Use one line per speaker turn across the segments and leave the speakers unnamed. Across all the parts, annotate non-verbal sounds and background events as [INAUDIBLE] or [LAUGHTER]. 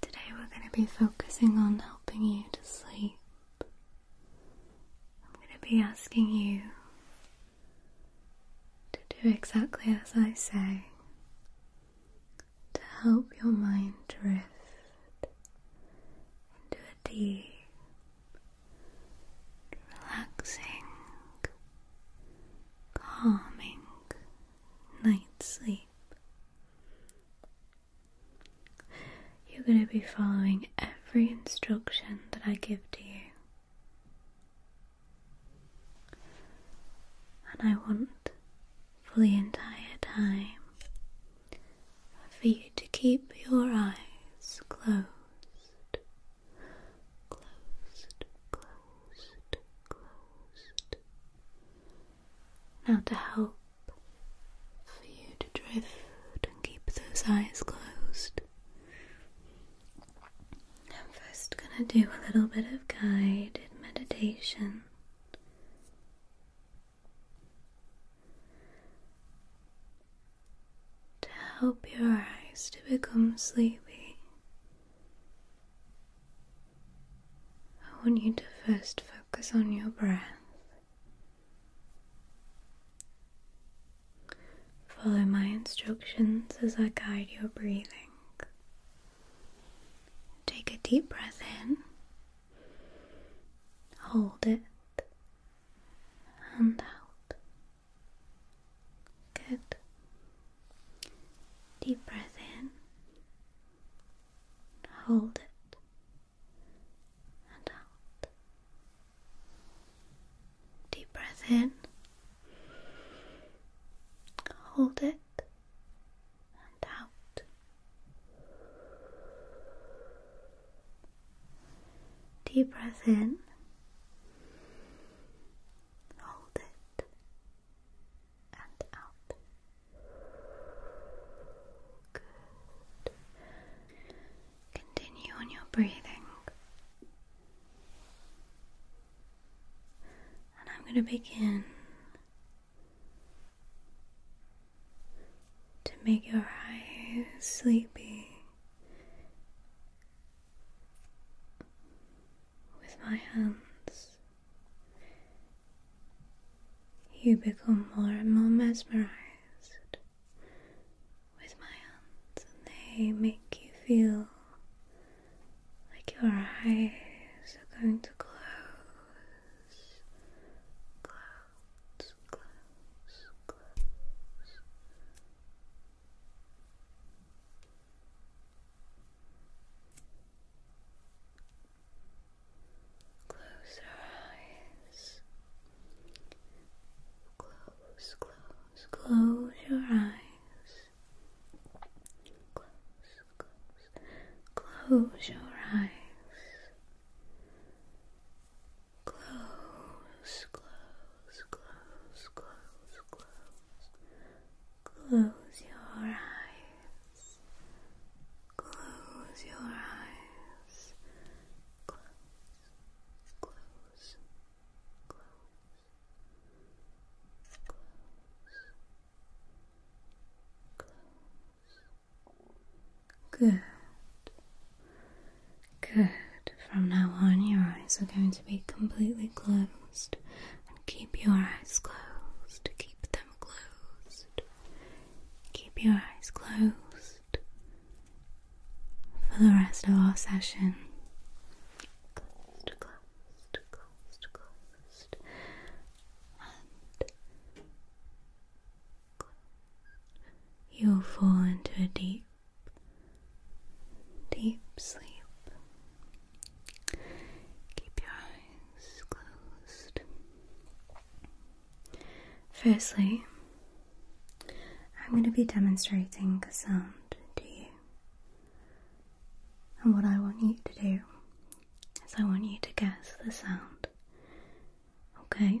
Today we're going to be focusing on helping you to sleep. I'm going to be asking you to do exactly as I say to help your mind drift into a deep, relaxing, calming night sleep. You're going to be following every instruction that I give to you. And I want for the entire time for you to keep your eyes closed closed, closed, closed. Now, to help for you to drift and keep those eyes closed, I'm first going to do a little bit of guided meditation to help your eyes to become sleepy. I want you to first focus on your breath. Follow my instructions as I guide your breathing. Take a deep breath in, hold it, and out. Good. Deep breath in. Hold it. And out. Deep breath in. Hold it. And out. Deep breath in. Hold it and out. Good. Continue on your breathing. And I'm going to begin to make your eyes sleepy with my hands, you become more and more mesmerized with my hands, and they make you feel like your eyes are going to close, close, close, close, Close your eyes. Close, close, close your eyes. Close, close, close your eyes. Close, close, close, close, close. Close your eyes. Close your eyes. Close, close, close, close, close. Good. Good. From now on, your eyes are going to be completely closed. And keep your eyes closed. to Keep them closed. Keep your eyes closed for the rest of our session. Closed, closed, closed, closed. And You'll fall into a deep deep sleep. Keep your eyes closed. Firstly, I'm going to be demonstrating a sound to you. And what I want you to do is I want you to guess the sound. Okay?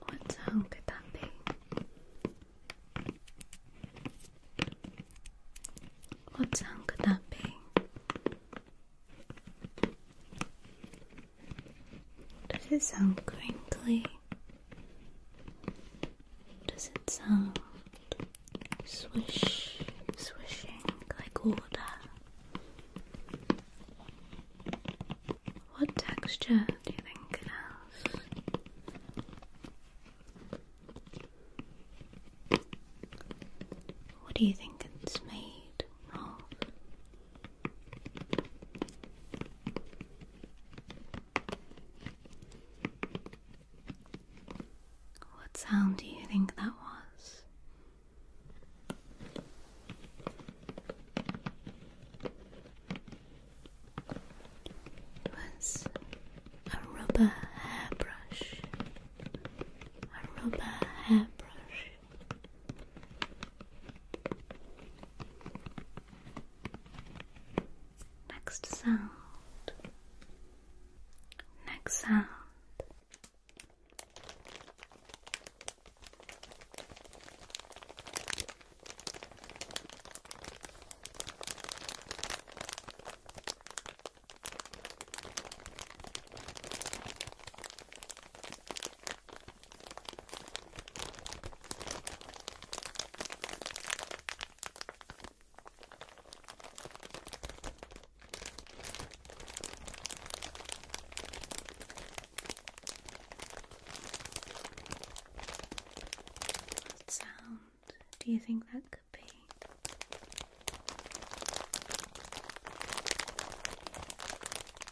What sound could that be? What sound could that be? Does it sound crinkly? Does it sound swish, swishing like water? What texture do you think it has? What do you think it's made of? What sound do you think that was? It was a rubber hairbrush. A rubber hairbrush. Next sound. Next sound. What sound do you think that could be?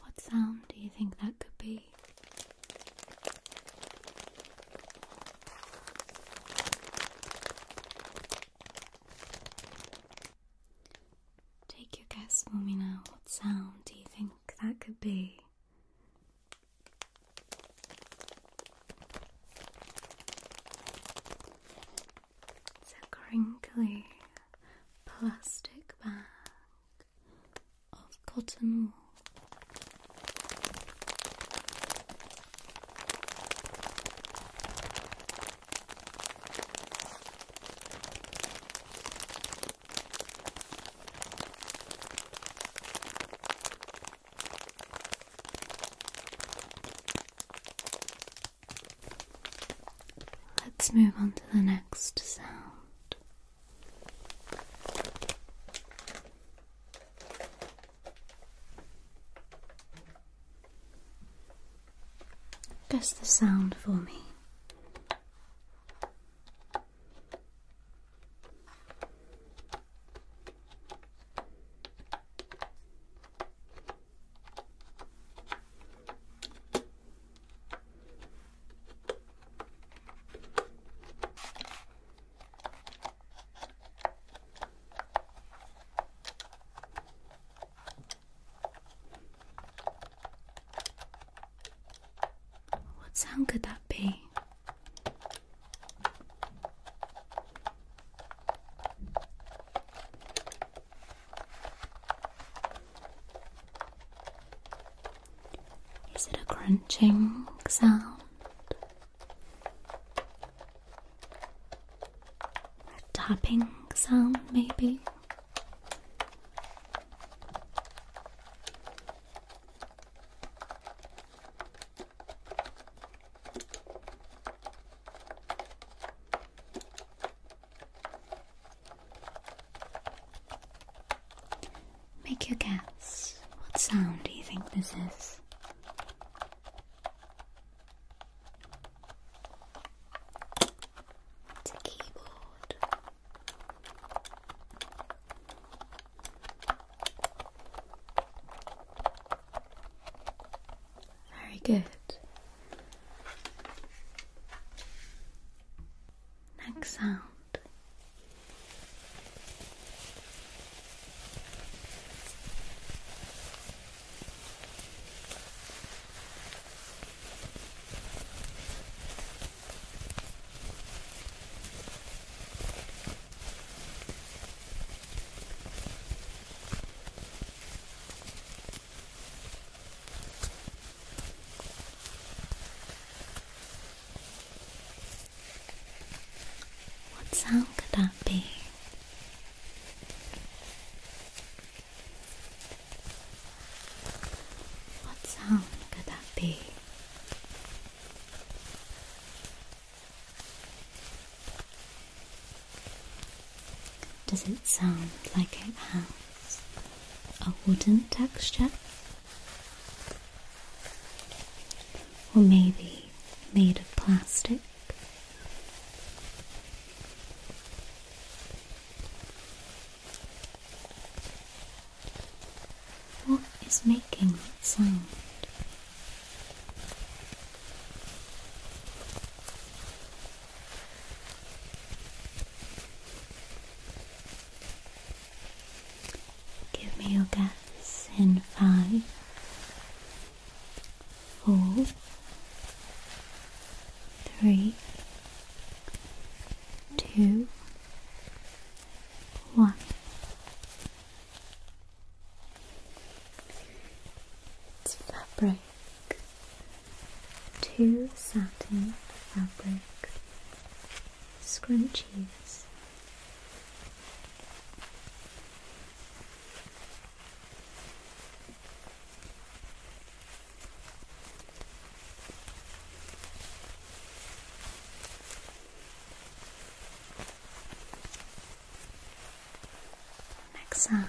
What sound do you think that could be? Take your guess for now. What sound do you think that could be? It's a crinkly plastic bag of cotton wool. Let's move on to the next sound. Guess the sound for me. What sound could that be? Is it a crunching sound? A tapping sound, maybe? Make your guess. What sound do you think this is? It's a keyboard. Very good. Next sound. What sound could that be? What sound could that be? Does it sound like a has? a wooden texture, or maybe made of plastic. What is making that sound? Give me your guess in five, four, three, two, one. It's fabric, two satin fabric milk, scrunchies. Next sound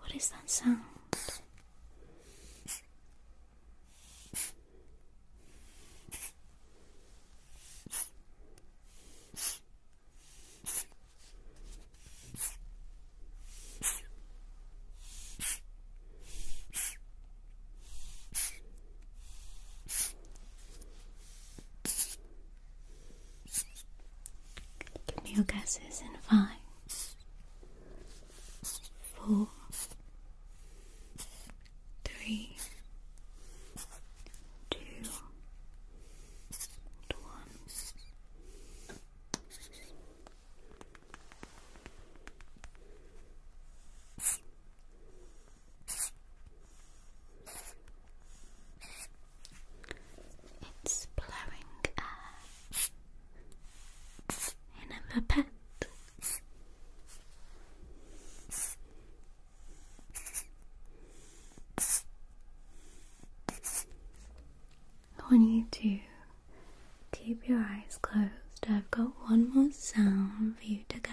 what is that sound? Give me your guesses and five, four, three, two one. It's blowing air in a pet. I want you to keep your eyes closed. I've got one more sound for you to guess.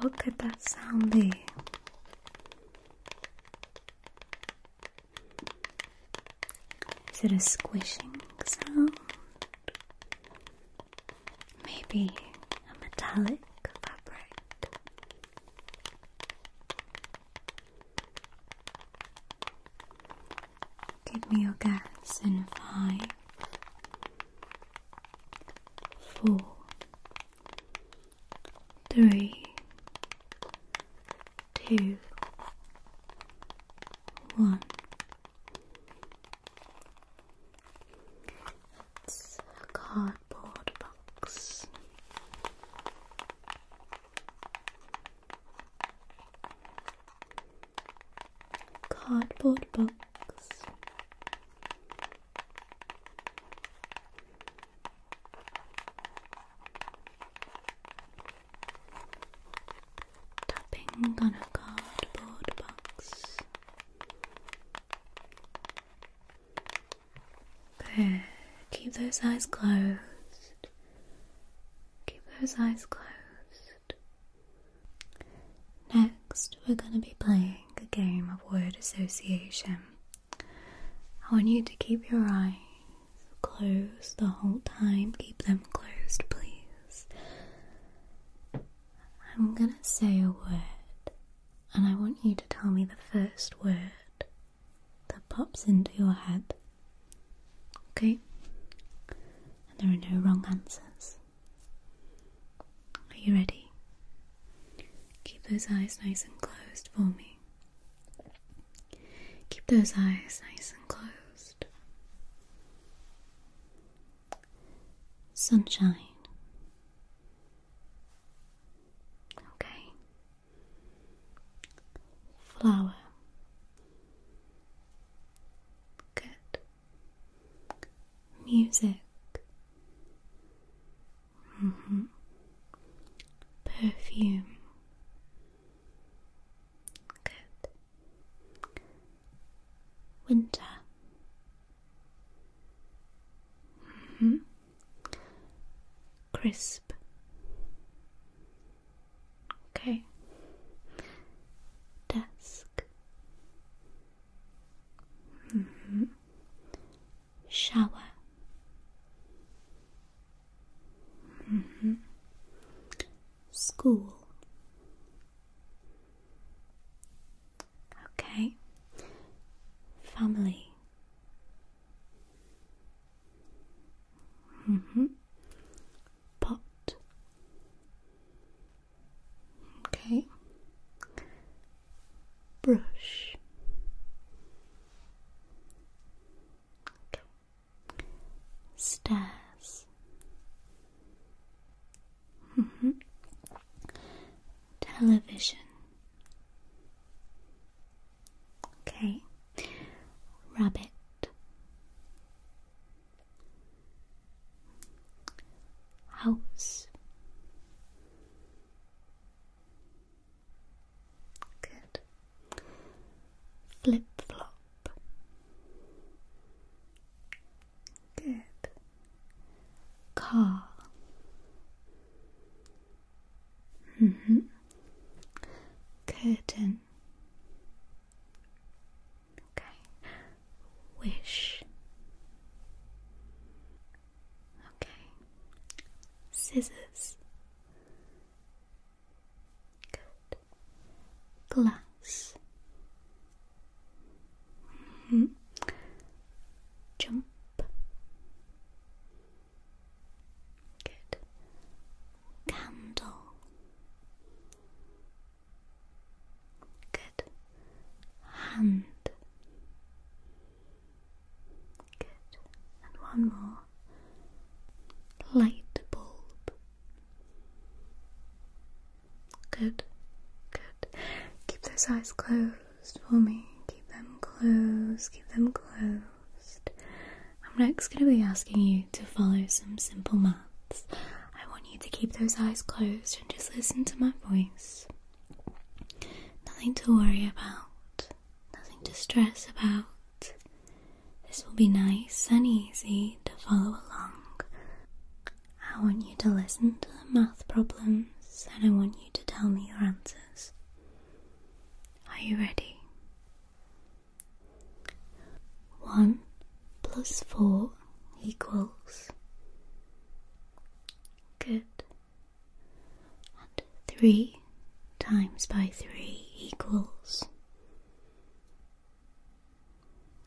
What could that sound be? Is it a squishing sound? Maybe a metallic fabric. Give me your guess in five, four, three, two, one. It's a card cardboard box. Cardboard box. Tapping on a cardboard box. Okay. Keep those eyes closed. Keep those eyes closed. Next, we're going to be playing a game of word association. I want you to keep your eyes closed the whole time. Keep them closed, please. I'm going to say a word, and I want you to tell me the first word that pops into your head. Okay? And there are no wrong answers. Are you ready? Keep those eyes nice and closed for me. Keep those eyes nice and closed. Sunshine. Okay flower. Good. Music. -hmm. Perfume. Good. Winter. -hmm crisp. Okay. Desk. Mm-hmm. Shower. Mm-hmm. School. Okay. Family. Mm Okay. Brush. Okay. Stairs. Mm-hmm. Television. Okay. Rabbit. House. Good. Flip flop. Good. Car. Mm-hmm. Curtain. Okay. Wish. Okay. Scissors. Good. Glass. -hmm. Jump. Good. Candle. Good. Hand. Good. And one more. Light bulb. Good. Good. Keep those eyes closed for me. Keep them closed. Keep them closed. I'm next going to be asking you to follow some simple maths. I want you to keep those eyes closed and just listen to my voice. Nothing to worry about, nothing to stress about. This will be nice and easy to follow along. I want you to listen to the math problems and I want you to tell me your answers. Are you ready? One plus four equals. Good. And three times by three equals.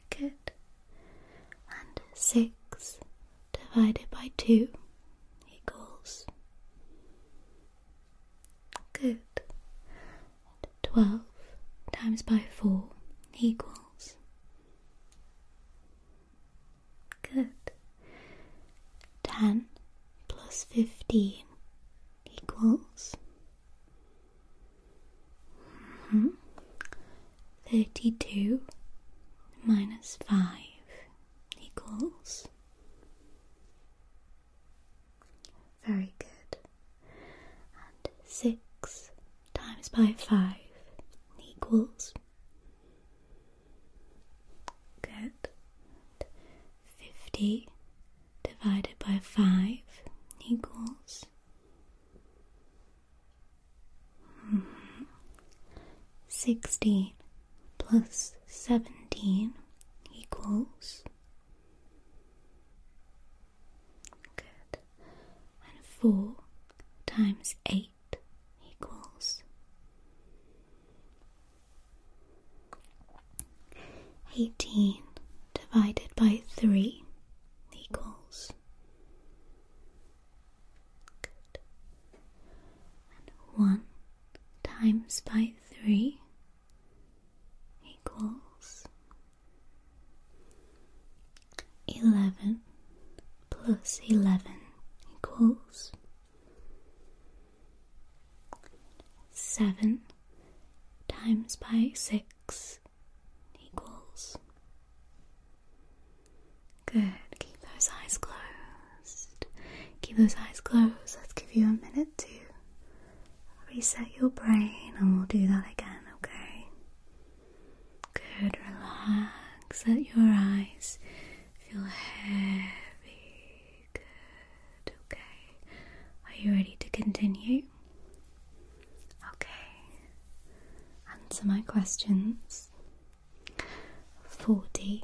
Good. And six divided by two equals. Good. Twelve times by four equals. Good. Ten plus fifteen equals. Mm-hmm. Thirty-two minus five equals very good. And six times by five equals. Good. Fifty divided by five equals. Hmm. Sixteen plus 17 equals. Good. And 4 times 8 equals. 18 divided by 3 equals. Good. And 1 times by 3 equals 11 plus 11 equals 7 times by 6 equals. Good, keep those eyes closed keep those eyes closed. Let's give you a minute to reset your brain, and we'll do that again, okay? Good, relax. Let your eyes feel heavy. Good, okay. Are you ready to continue? Okay. Answer my questions. Forty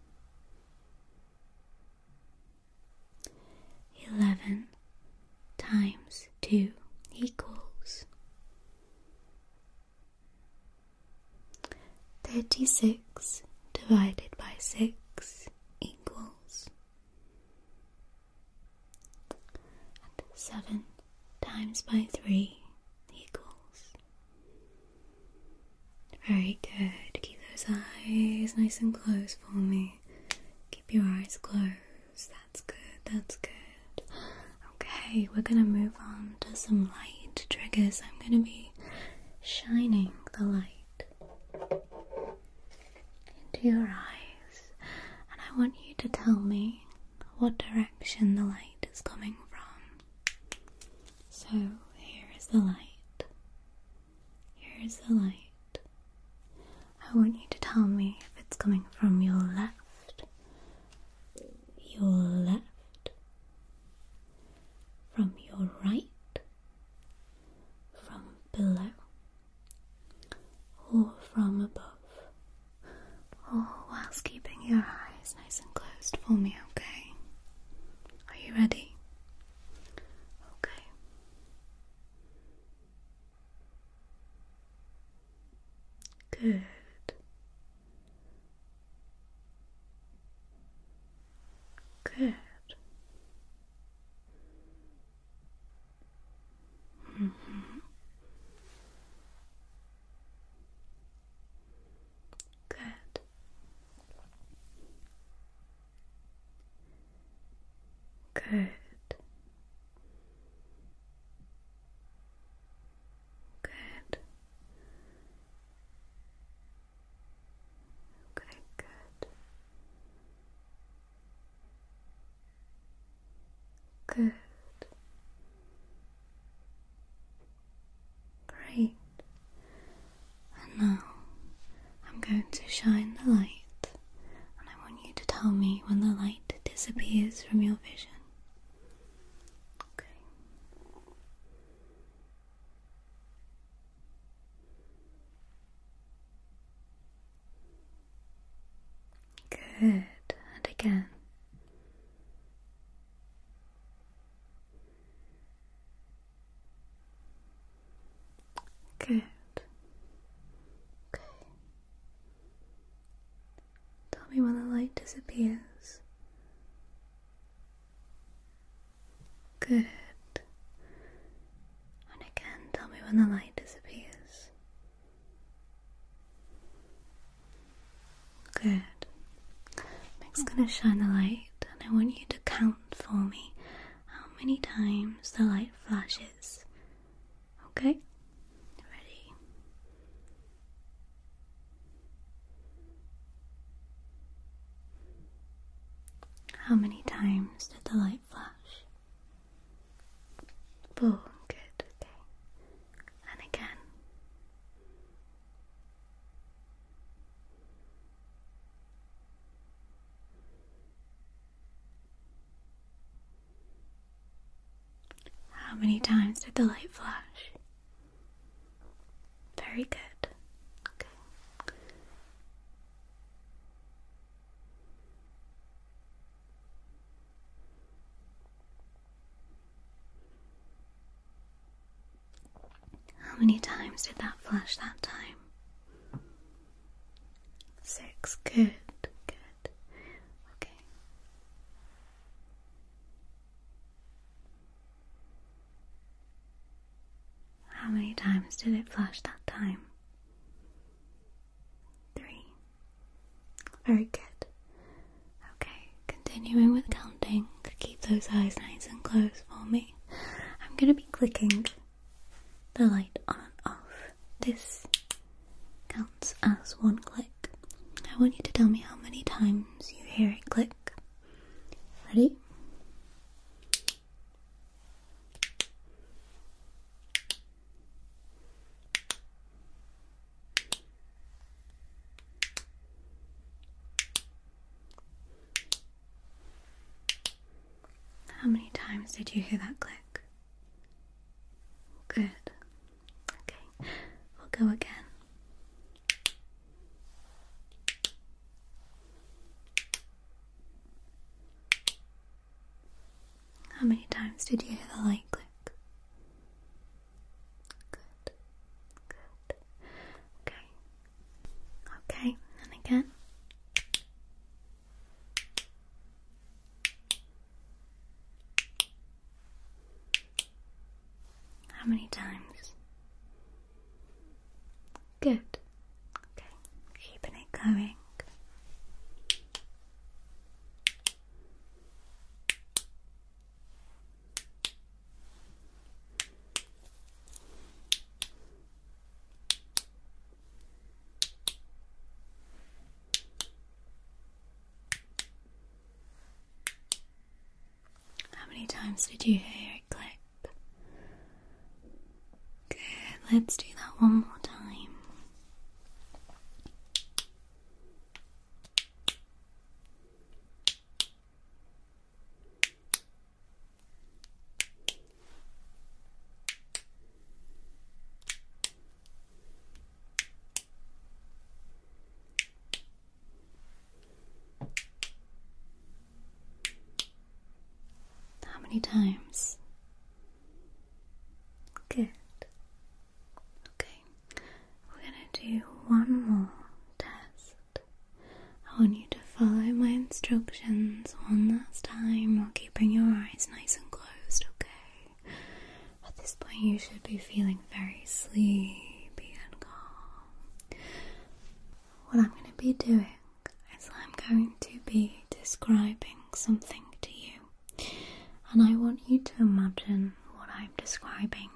Eleven times two equals thirty six divided by six equals seven times by three equals very good. Keep those eyes nice and closed for me. Keep your eyes closed. That's good. That's good. [GASPS] Okay, we're gonna move on to some light triggers. I'm gonna be shining the light into your eyes, and I want you to tell me what direction the light is coming from. So here is the light. Here is the light. I want you to tell me if it's coming from your left, your left, from your right, from below, or from above, all whilst keeping your eyes nice and closed for me, okay? Are you ready? Okay. Good. Good. Mm-hmm. Good. Good. Good. Okay, good. Good. Great. And now I'm going to shine the light, and I want you to tell me when the light disappears from your vision. Okay. Good. And again. Good. Okay. Tell me when the light disappears. Good. And again, tell me when the light disappears. Good. Meg's gonna shine the light, and I want you to count for me how many times the light flashes. Okay? Ready? How many times did the light flash? Boom, good, okay. And again. How many times did the light flash? Very good. How many times did that flash that time? Six. Good, good. Okay. How many times did it flash that time? Three. Very good. Okay, continuing with counting. Keep those eyes nice and closed for me. I'm going to be clicking the light on and off. This counts as one click. I want you to tell me how many times you hear it click. Ready? How many times did you hear that click? Good. Okay, we'll go again. How many times did you hear the light click? Good. Good. Okay. Okay, and again. How many times? Good. Okay, keeping it going. How many times did you hear it click? Good, let's do that one more time. How many times? Good. Okay we're gonna do one more test. I want you to follow my instructions one last time while keeping your eyes nice and closed, okay? At this point, you should be feeling very sleepy and calm. What I'm going to be doing is I'm going to be describing something to you, and I want you to imagine what I'm describing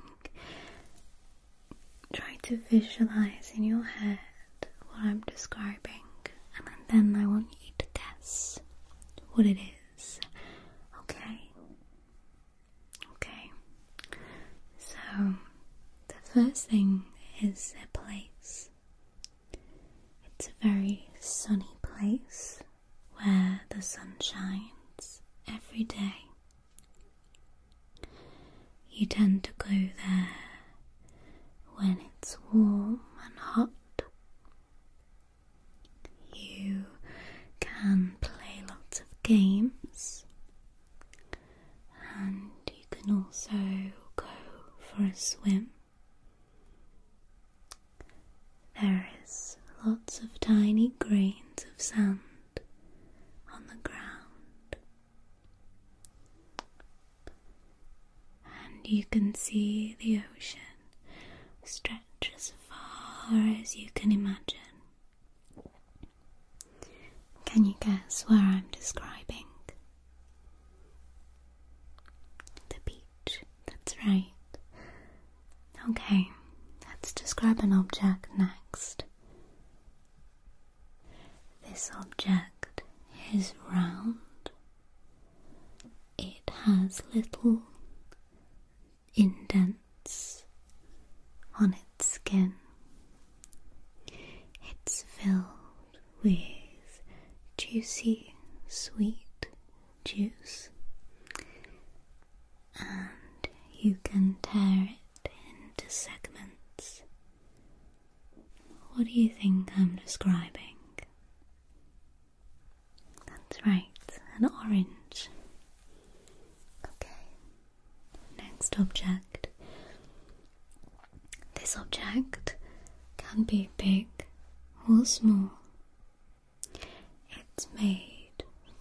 try to visualize in your head what I'm describing, and then I want you to guess what it is. Okay? Okay. So, the first thing is a place. It's a very sunny place where the sun shines every day. You tend to go there when it's warm and hot. You can play lots of games, and you can also go for a swim. There is lots of tiny grains of sand on the ground, and you can see the ocean stretch as far as you can imagine. Can you guess where I'm describing? The beach, that's right. Okay, let's describe an object next. This object is round. It has little indents on its skin. It's filled with juicy, sweet juice and you can tear it into segments. What do you think I'm describing? That's right, an orange. Okay, next object. This object can be big or small. It's made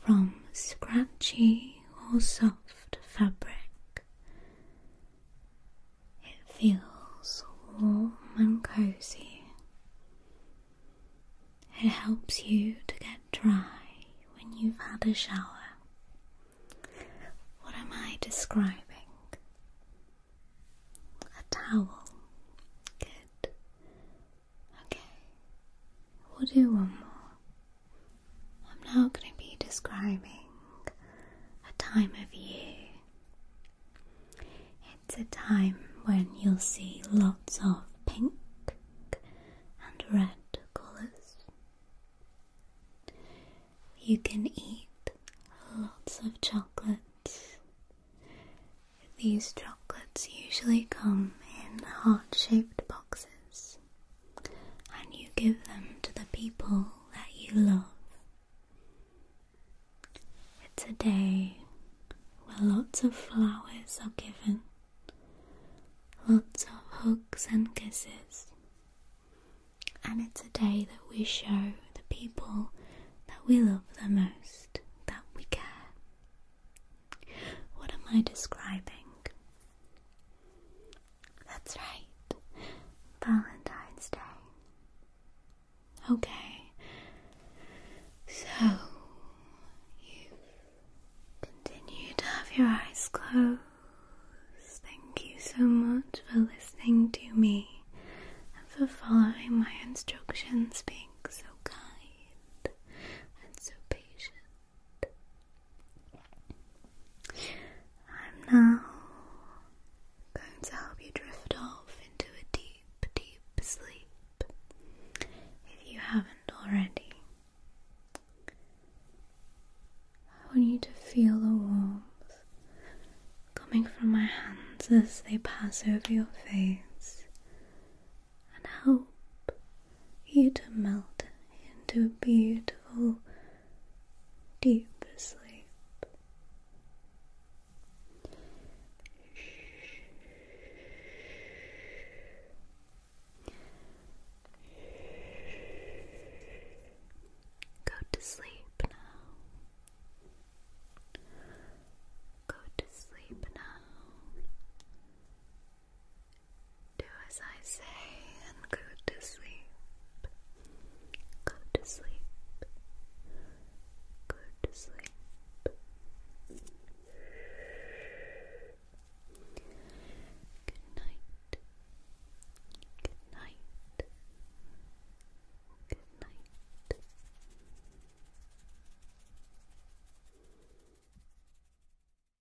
from scratchy or soft fabric. It feels warm and cozy. It helps you to get dry when you've had a shower. What am I describing? A towel. Good. Okay. We'll do one more. I'm now going to be describing a time of year. It's a time when you'll see lots of pink and red colours. You can eat lots of chocolates. These chocolates usually come in heart shaped boxes and you give them to the people that you love. It's a day where lots of flowers are given, lots of hugs and kisses, and it's a day that we show the people that we love the most that we care. What am I describing? That's right, Valentine's Day. Okay, so you continue to have your eyes closed. Thank you so much for listening to me and for following my instructions, being so kind and so patient. I'm now going to help you drift off into a deep, deep sleep if you haven't already. I want you to feel the warmth coming from my hands as they pass over your face and help you to melt into beautiful, deep sleep. Go to sleep now. Go to sleep now. Do as I say and go to sleep. Go to sleep. Go to sleep. Good night. Good night. Good night.